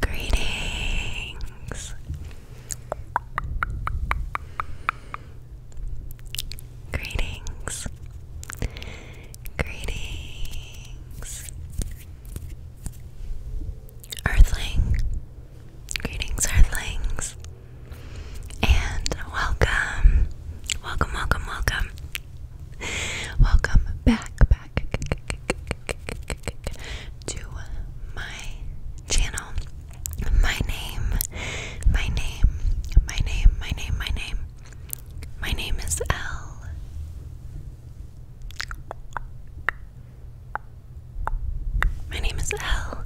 Greetings. Greetings. Greetings. Earthling. Greetings, Earthlings. And welcome, welcome, welcome, welcome, welcome back, back to my channel. My name, my name, my name, my name, my name, my name is L. My name is L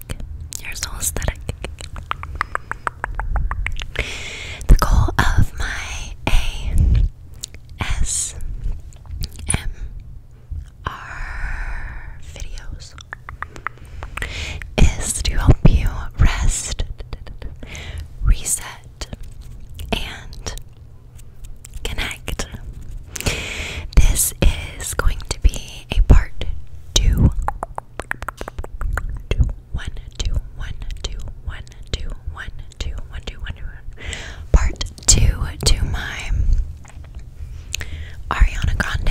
aesthetic. aesthetic. The goal of my ASMR videos is to help you rest, reset, and connect. This is going to be a part two two, one, two, one, two, one, two, one, two, one, two, one, two, one. Part two to my Ariana Grande.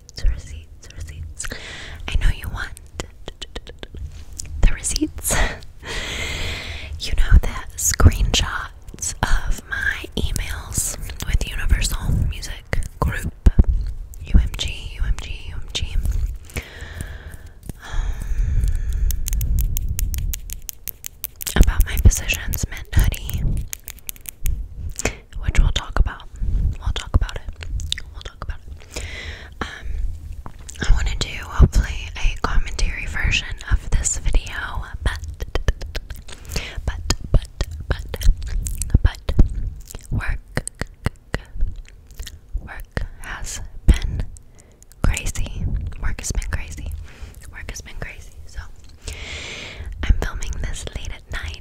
receipts, receipts, I know you want the receipts. you know the screenshots of my emails with Universal Music Group, UMG, UMG, UMG. about my positions meant hoodie which we'll talk about. We'll talk about it. We'll talk about it. Um, I want to hopefully a commentary version of this video, but, but, but, but, but, work, work has been crazy. Work has been crazy. Work has been crazy. So, I'm filming this late at night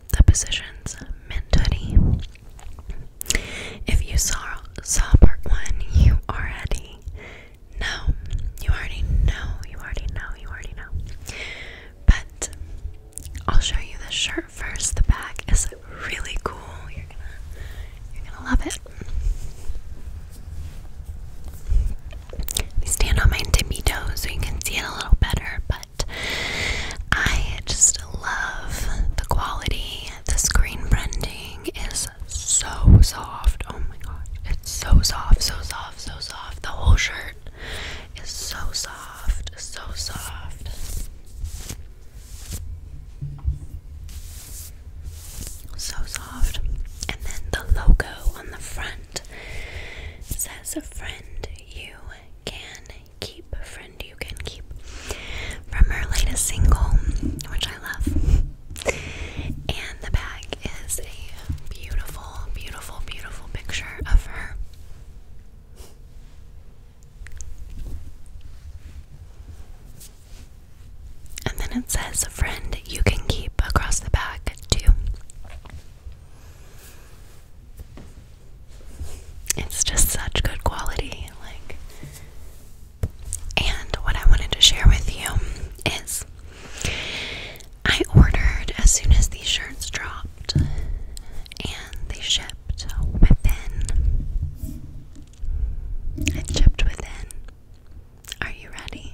the positions mint hoodie. If you saw saw part one, you already know. You already know. You already know. You already know. But I'll show you the shirt first. The back is really cool. You're gonna you're gonna love it. Let me stand on my tippy toes so you can see it a little better, but but I just love the quality. The screen branding is so soft. Oh my gosh, it's so soft, so soft, so soft. The whole shirt is so soft, so soft. So soft. And then the logo on the front says, Friend, you can Keep, Friend You Can Keep, from her latest single, which I love. And the back is a beautiful, beautiful, beautiful picture of her. And then it says, Friend You Can Keep across the back, too. It's just such good quality. Like, and what I wanted to share with you is I ordered as soon as these shirts dropped, and they shipped within. It shipped within. Are you ready?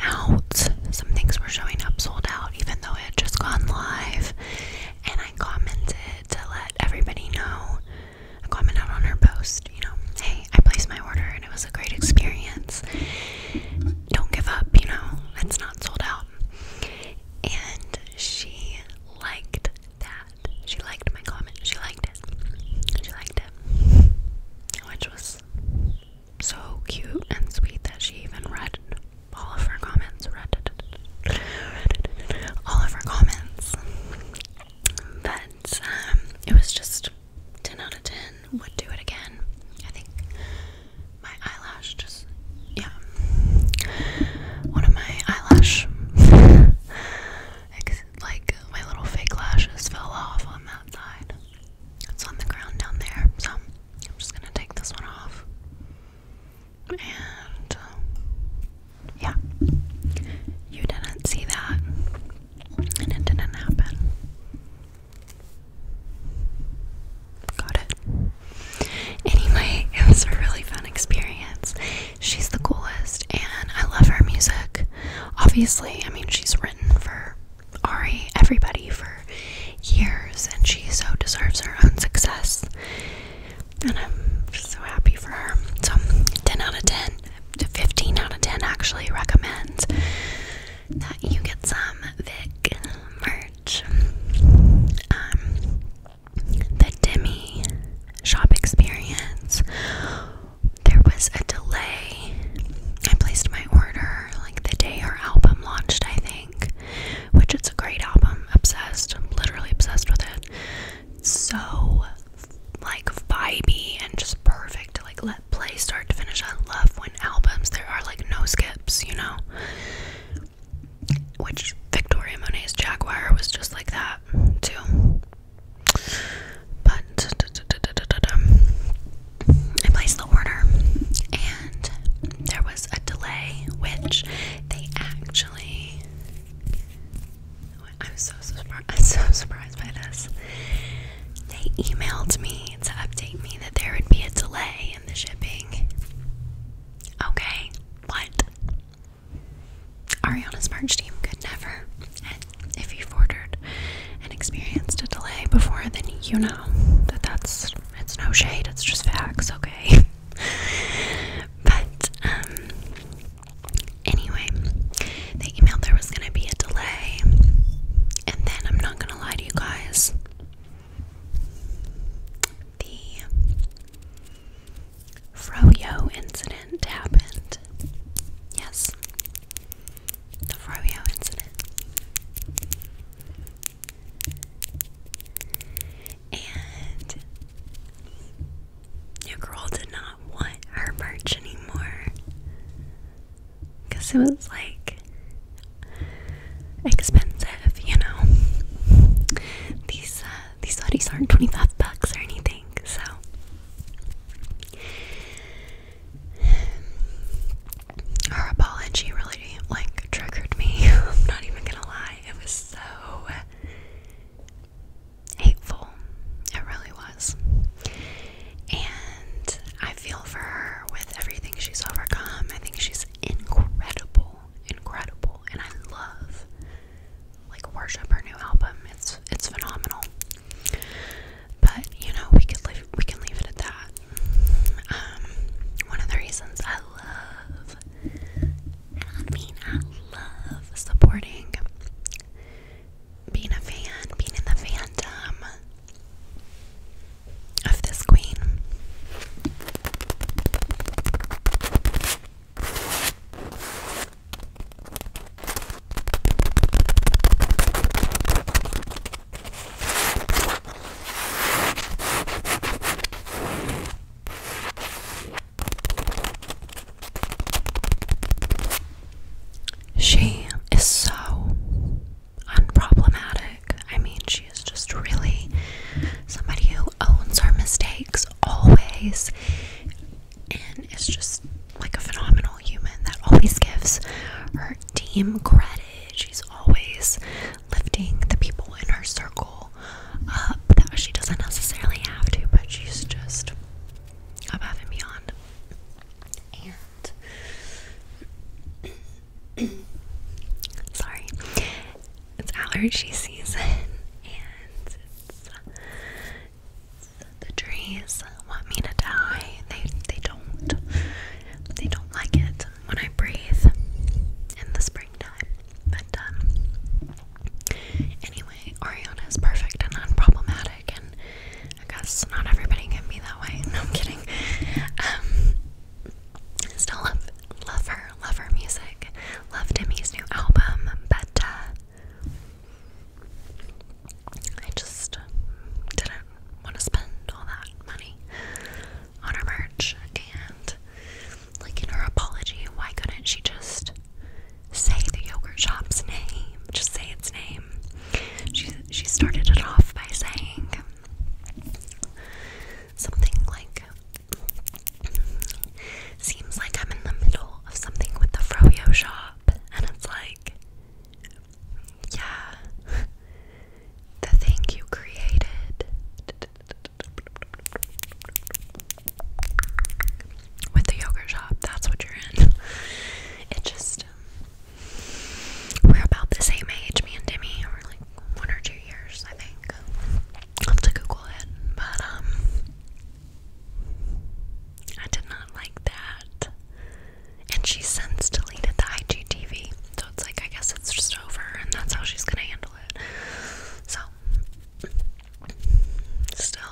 out. Some things were showing up sold out, even though it had just gone live. And I commented to let everybody know. I commented on her post, you know, hey, I placed my order and it was a great experience. Don't give up, you know, it's not sold out. And she liked that. She liked my comment. She liked it. She liked it. Which was so cute and sweet that she even read all of her comments. Read all of her comments. But um, it was just 10 out of 10. Would do it again. I think my eyelash just, yeah. One of my eyelash, like my little fake lashes fell off on that side. It's on the ground down there. So I'm just gonna take this one off. And um, yeah, you didn't see that, and it didn't happen. Got it. Anyway, it was a really fun experience. She's the coolest, and I love her music. Obviously, I mean, she's written for Ari, everybody for years, and she so deserves her own success. And I'm so happy for her. So, 10 out of 10, 15 out of 10 actually recommends that you get some Vic merch. Um, the Demi shop experience. There was a delay. I placed my order like the day her album launched, I think which it's a great album. Obsessed, I'm literally obsessed with it. so like vibey and just perfect. Like let play start to finish. I love when albums there are like no skips, you know. Which Victoria Monet's Jaguar was just like that too. But I placed the order and there was a delay, which they actually. I'm so, surprised. by this. They emailed me to update me that there would be a delay in the shipping. Okay, what? Ariana's merch team could never. And if you've ordered and experienced a delay before, then you know that that's it's no shade, it's just facts, okay? but, um, anyway, they emailed there was gonna be a delay, and then I'm not gonna lie to you guys. The Froyo incident happened. Yes, the Froyo incident. And your girl did not want her merch anymore. Because it was like expensive, you know. These uh, these hoodies aren't 25 bucks or anything, so her apology really like triggered me. I'm not even gonna lie, it was so hateful. It really was. And I feel for her with everything she's overcome. I think she's incredible, incredible, and I love like worship her new album. It's it's phenomenal. But you know, we could leave we can leave it at that. Um, one of the reasons I love, I mean I love supporting, being a fan, being in the fandom of this queen. She is so unproblematic. I mean, she is just really somebody who owns her mistakes always and is just like a phenomenal human that always gives her team credit. She's always lifting the people in her circle up uh, that she doesn't necessarily have to, but she's just above and beyond. And sorry, it's allergy season, and the trees want me to die. They they don't. They don't like it when I breathe in the springtime. But um, anyway, Ariana is perfect and unproblematic and I guess not everybody can be that way. No I'm kidding. Um, still love love her, love her music, love Timmy's new album, but uh, I just want to spend all that money on her merch. And, like, in her apology, why couldn't she just say the yogurt shop's name? Just say its name. She, she started it off by saying something like, Seems like I'm in the middle of something with the Froyo shop. And it's like, yeah, the thing you created. With the yogurt shop, that's what you're in. It just, um, we're about the same age, me and Demi, or like one or two years, I think. have to Google it, but um, I did not like that and she since deleted the IGTV. So it's like I guess it's just over, and that's how she's gonna handle it. So, still,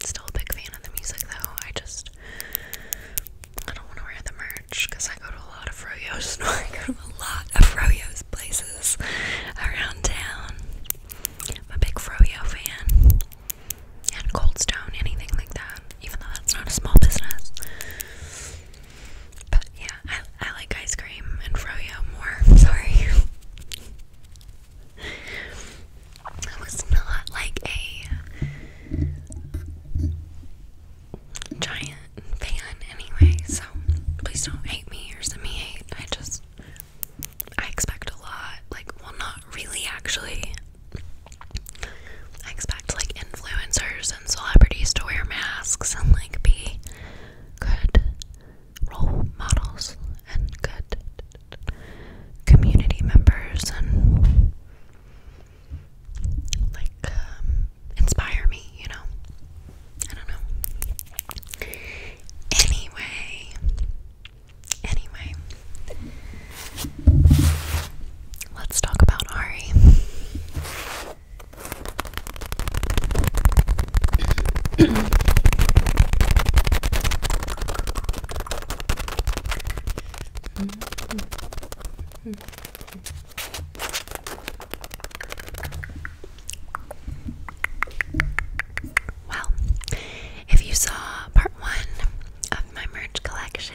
still a big fan of the music though. I just I don't want to wear the merch because I go to a lot of Froyo's. I go to a lot of Froyo's places around town. I'm a big Froyo fan. And Cold Stone, anything like that. Even though that's not a small business. But yeah, I, I like ice cream and froyo more. Sorry. I was not like a giant fan anyway, so please don't hate me or send me hate. I just, I expect a lot. Like, well, not really, actually. I expect like influencers celebrities to wear masks and like be good role models and good community members and like um, inspire me, you know. I don't know. Anyway, anyway, let's talk about Ari. Well, if you saw part one of my merch collection,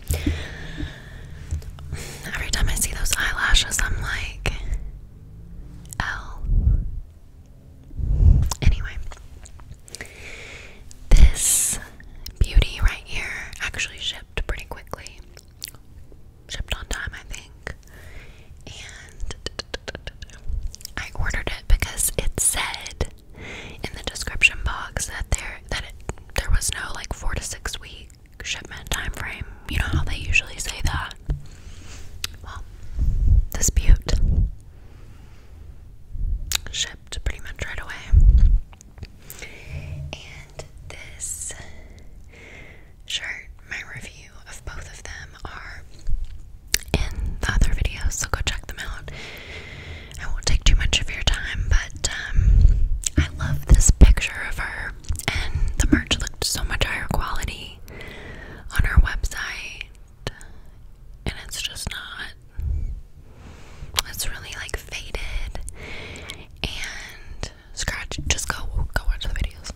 Every time I see those eyelashes, I'm like, L. Anyway, this beauty right here actually shipped pretty quickly. Shipped on time, I think. And I ordered it because it said in the description box that there that there was no like four to six weeks shipment time frame. You know how they usually say that? Well, dispute. Shipped pretty much right away. And this shirt, my review of both of them are in the other videos, so go check them out. I won't take too much of your time, but um, I love this picture of her, and the merch looked so much higher quality on her website, and it's just not. It's really like faded and scratched. Just go, go watch the videos.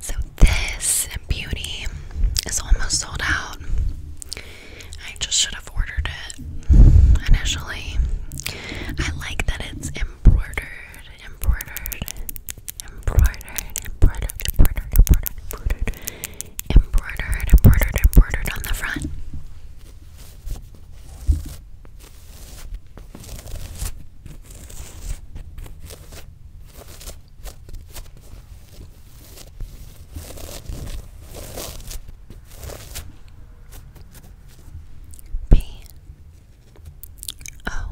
So, this beauty is almost sold out. I just should have ordered it initially. I like that it's embroidered, embroidered, embroidered, embroidered, embroidered, embroidered, embroidered, embroidered, embroidered, embroidered on the front. P O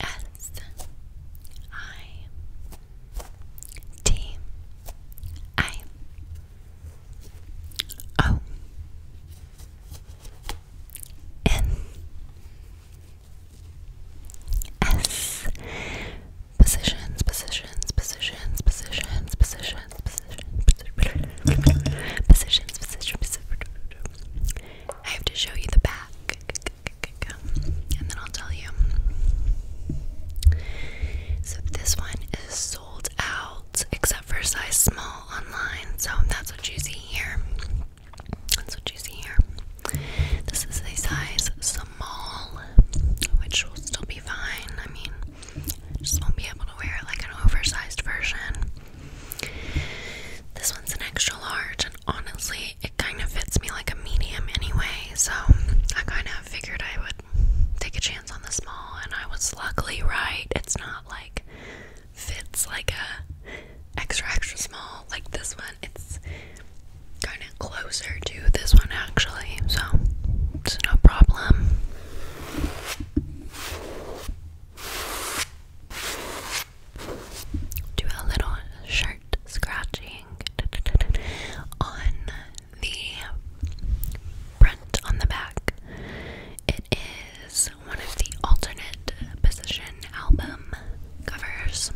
S I T I O N S positions, positions, positions, positions, positions, positions, positions, positions. I have to show you the back, and then I'll tell you. So this one is sold out except for size small online. So that's what you see here. That's what you see here. This is a size small, which will still be fine. I mean, just won't be able to wear like an oversized version. This one's an extra large, and honestly, it kind of fits me like a medium anyway, so I kind of figured I would take a chance on the small, and I was luckily right. It's not like fits like a extra extra small like this one. It's kind of closer to this one actually, so it's no problem. Do a little shirt scratching on the front, on the back. It is one of the alternate position album covers,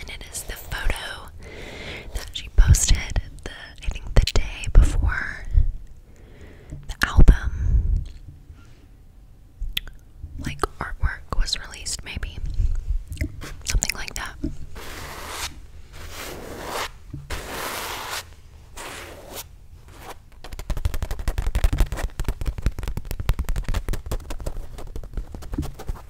and it is photo that she posted the I think the day before the album like artwork was released maybe something like that.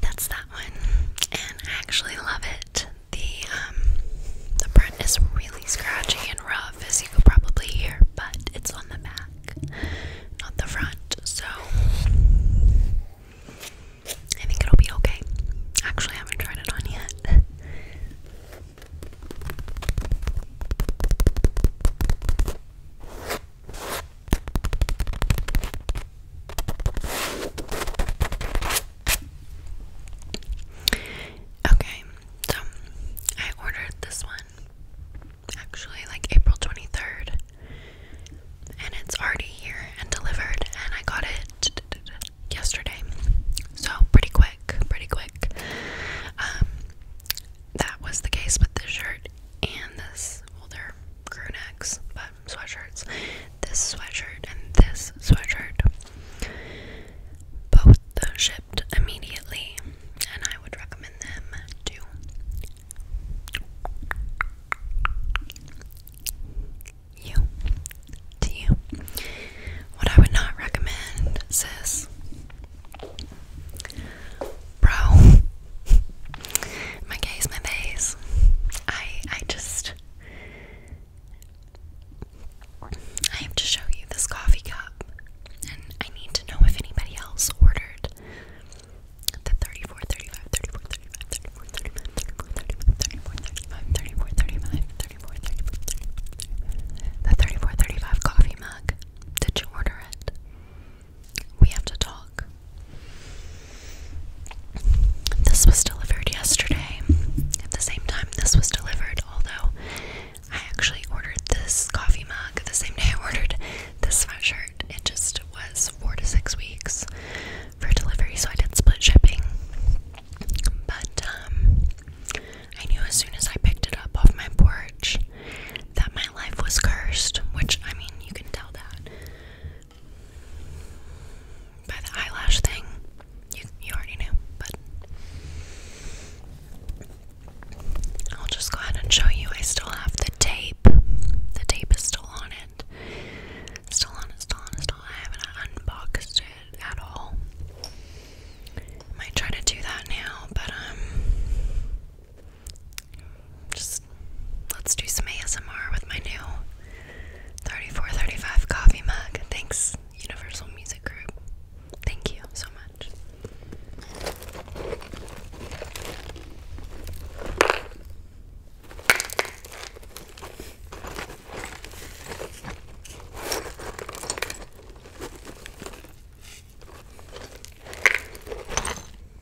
that's that one, and I actually love it. The um, the print is really scratchy and rough, as you could probably hear, but it's on the back, not the front, so I think it'll be okay. Actually, I haven't tried it on yet. Okay, so I ordered this one actually like April 23rd, and it's already here and delivered, and I got it yesterday, so pretty quick, pretty quick. Um, that was the case with this shirt and this holder crew but sweatshirts. This sweatshirt and this sweatshirt. Both shipped immediately, and I would recommend them too. You, to you. What I would not recommend, sis, Bro, my gaze, my face. I I just I have to show you this coffee cup, and I need to know if anybody else ordered the 34, the 34, coffee mug. Did you order it? We have to talk. This was delivered yesterday. At the same time, this was delivered, although I actually ordered this coffee mug the same day I ordered this sweatshirt. It just was four to six weeks for delivery, so I did split shipping. But um, I knew as soon as I picked it up off my porch that my life was cursed, which I mean, you can tell that by the eyelash thing. You already knew, but I'll just go ahead and show you. I still have the tape. The tape is still on it. Still on still on still on I haven't unboxed it at all. might try to do that now, but um just let's do some ASMR with my new 3435 coffee mug. Thanks, Universal Music Group. Thank you so much.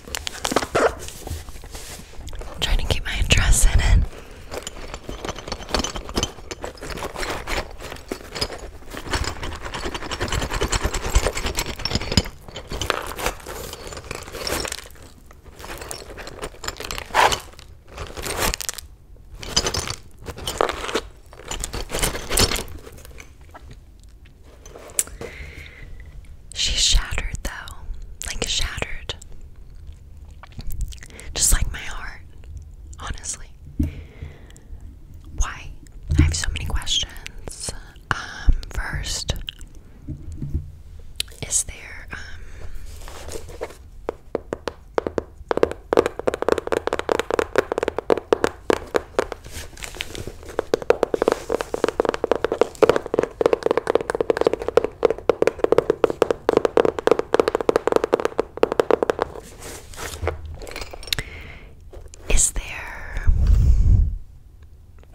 I'm trying to keep my address in it. She's shattered though. Like shattered. Just like my heart, honestly. Why? I have so many questions. Um, first, is there um, is there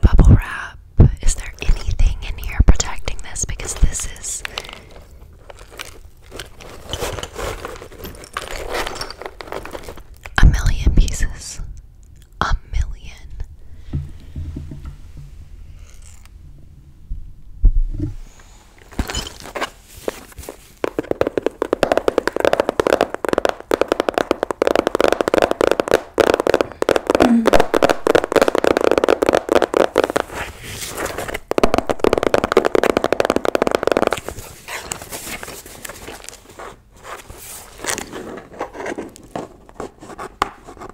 bubble wrap? Is there anything in here protecting this? Because this is. A million pieces a million. Mm.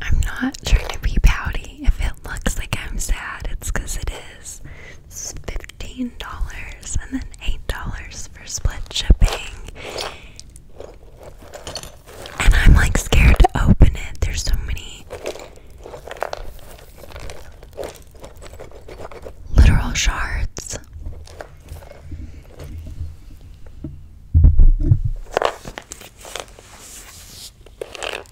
I'm not trying to be pouty. If it looks like I'm sad, it's because it is. This is $15 and then $8 for split shipping. And I'm like scared to open it. There's so many literal shards.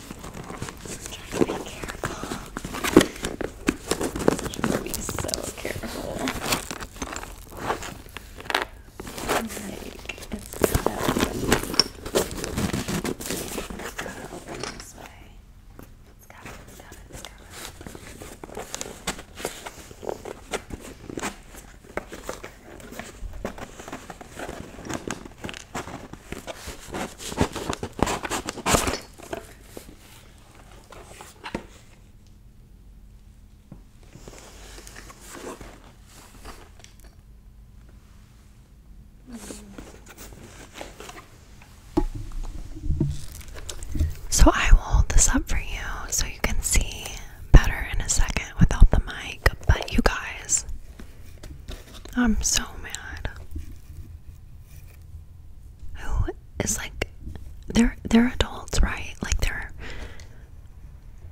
Try to be careful. Try to be so careful. Like, it's so It's gotta open this way. It's got it, it's got it, it's got it. So I will hold this up for you so you can see better in a second without the mic, but you guys, I'm so mad. Who is like they're they're adults, right? Like they're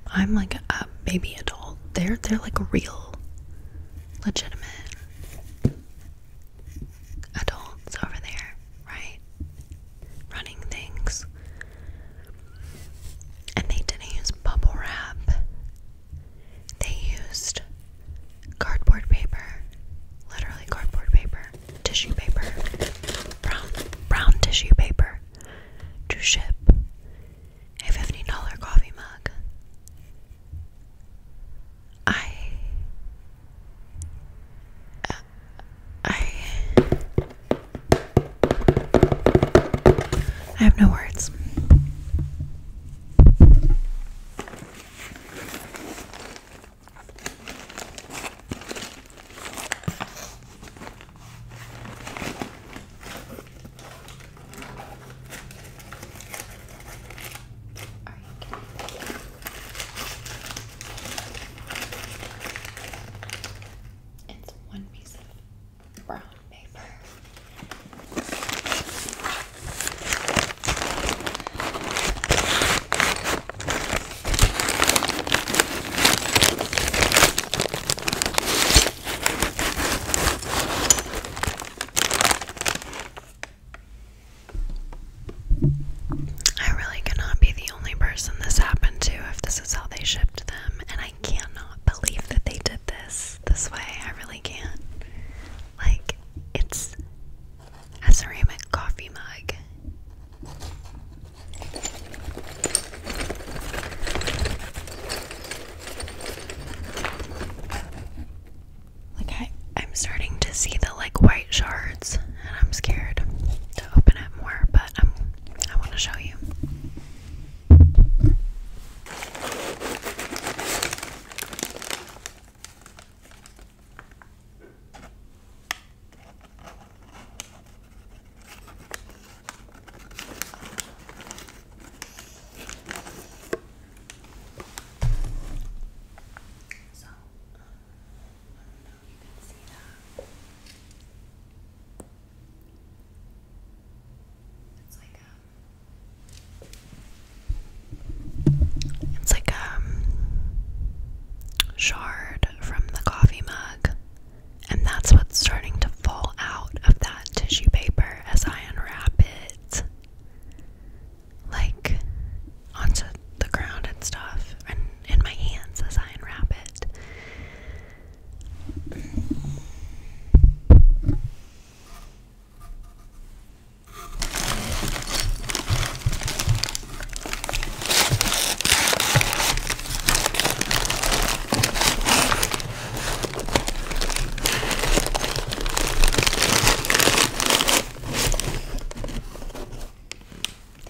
I'm like a baby adult. They're they're like real legitimate adults over there, right? Running things. And they didn't use bubble wrap they used cardboard paper, literally cardboard paper, tissue paper, brown brown tissue paper to ship a fifty dollars coffee mug. I uh, I I have no words. It's one piece of brown paper. I really cannot be the only person this happened to if this is how they shipped them, and I cannot believe that they did this this way. I really can't. Like, it's a ceramic coffee mug. Like I'm starting to see the like white shards, and I'm scared to open it more, but I'm, I want to show you. So, um, I don't know if you can see that. It's like a it's like a um, shard from the coffee mug, and that's what's starting to fall out of that tissue paper as I unwrap it, like onto the ground and stuff, and in my hands as I unwrap it.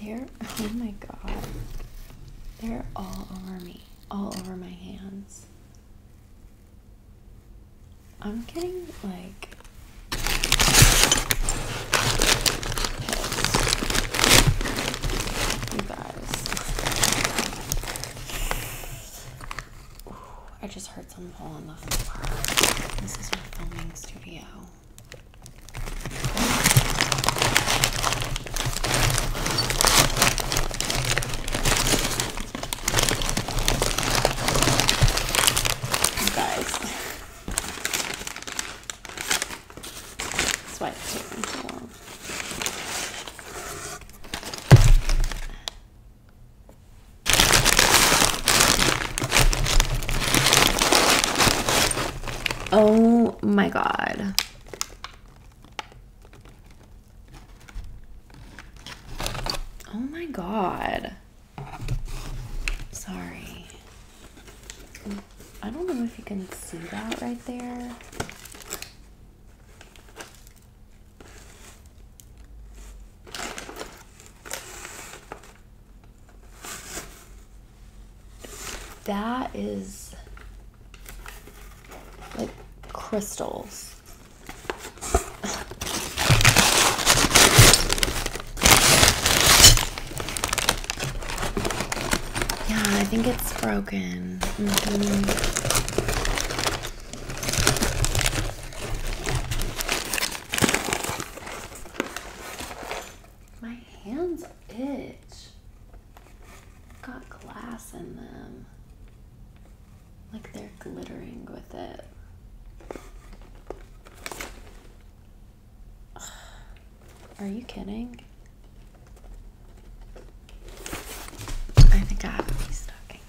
They're, oh my god, they're all over me, all over my hands. I'm getting like pissed. You guys. I just heard someone fall on the floor. This is our filming studio. Guys. That's why it's taking so long. Oh my god. Oh my god. Sorry. I don't know if you can see that right there. That is like crystals. Yeah, I think it's broken. Mm-hmm. My hands itch. Got glass in them like they're glittering with it. Are you kidding? I think I have a restocking.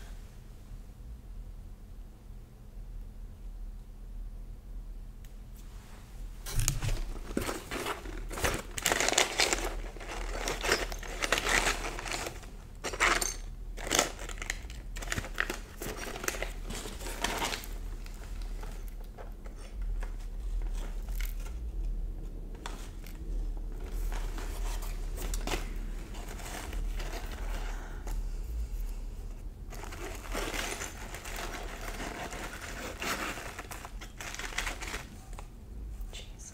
Jesus.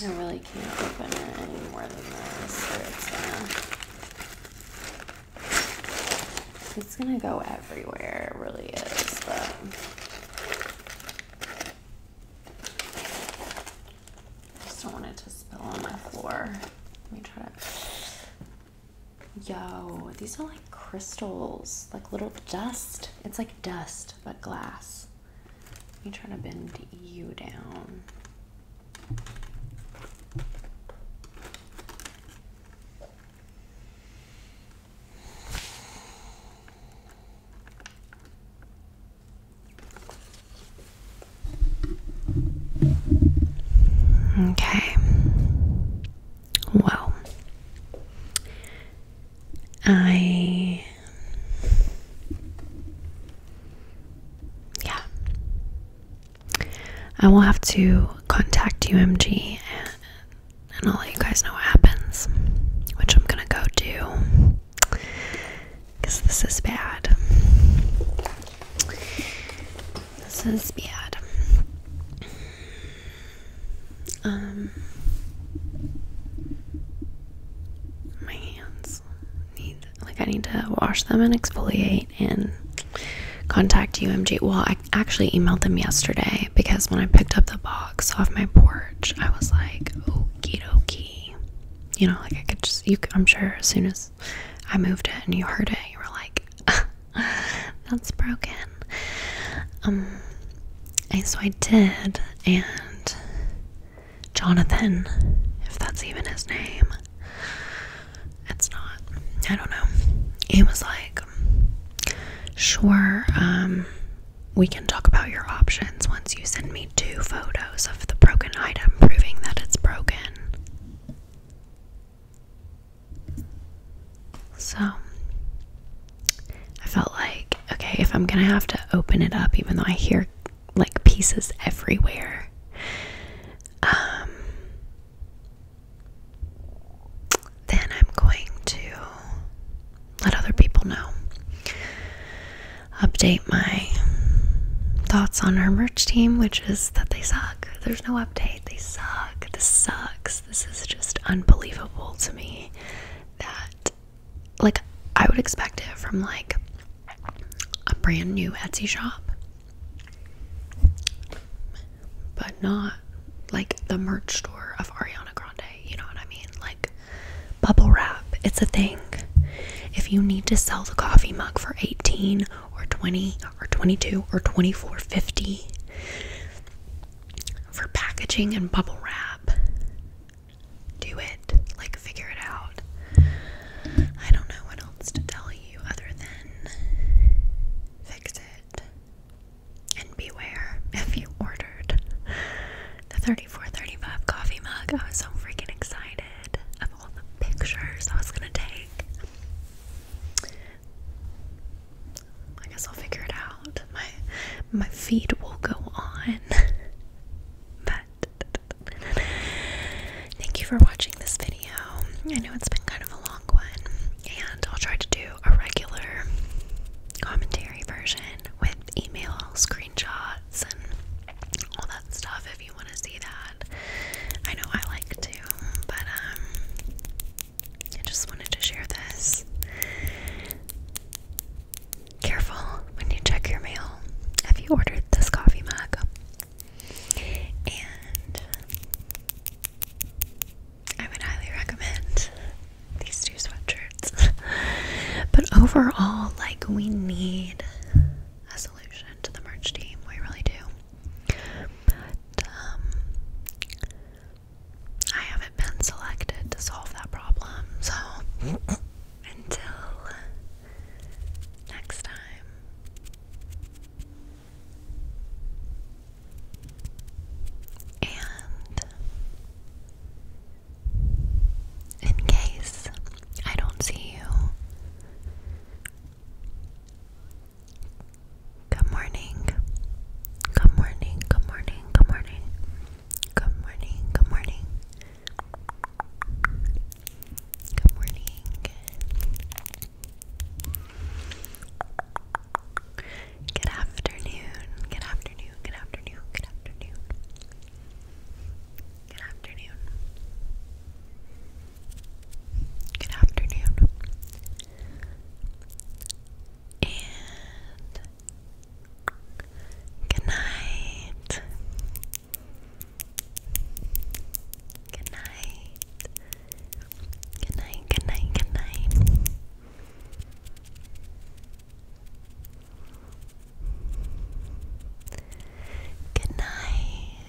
I really can't open it any more than this, it's gonna, go everywhere, it really is, but. I just don't want it to spill on my floor. Let me try to Yo, these are like crystals, like little dust. It's like dust, but glass. I'm trying to bend you down. Okay. Well, I. Yeah. I will have to contact UMG and, and I'll let you guys know what happens, which I'm gonna go do because this is bad. This is bad. Um, my hands need like I need to wash them and exfoliate and contact UMG. Well, I actually emailed them yesterday because when I picked up the box off my porch, I was like, okie dokie. You know, like I could just, you, I'm sure as soon as I moved it and you heard it, you were like, That's broken. Um, so I did, and Jonathan, if that's even his name, it's not. I don't know. He was like, sure, um, we can talk about your options once you send me two photos of the broken item proving that it's broken. So I felt like, okay, if I'm gonna have to open it up, even though I hear like pieces everywhere, um, then I'm going to let other people know. Update my thoughts on our merch team, which is that they suck. There's no update. They suck. This sucks. This is just unbelievable to me that like I would expect it from like a brand new Etsy shop. But not like the merch store of Ariana Grande, you know what I mean? Like bubble wrap, it's a thing. If you need to sell the coffee mug for 18 or 20 or 22 or 24.50, for packaging and bubble wrap, do it. Like, figure it out. I don't know what else to tell you other than fix it. And beware if you ordered the 3435 coffee mug. I was so freaking excited of all the pictures I was gonna take. I guess I'll figure it out. My my feed will go on. but thank you for watching this video. I know it's been kind of a long one, and I'll try to do a regular commentary version with email screenshots and all that stuff if you want to see that. I know I like to, but um I just wanted to share this. Careful when you check your mail if you ordered this coffee mug. And I would highly recommend these two sweatshirts. but overall, like, we need a solution to the merch team. We really do. But um, I haven't been selected to solve that problem, so until next time. And in case I don't see you, Good morning. Good morning. Good morning. Good morning. Good morning. Good morning. Good afternoon. Good afternoon. Good afternoon. Good afternoon. Good afternoon. Good afternoon. And good night. Good night. Good night, good night, good night. Good night.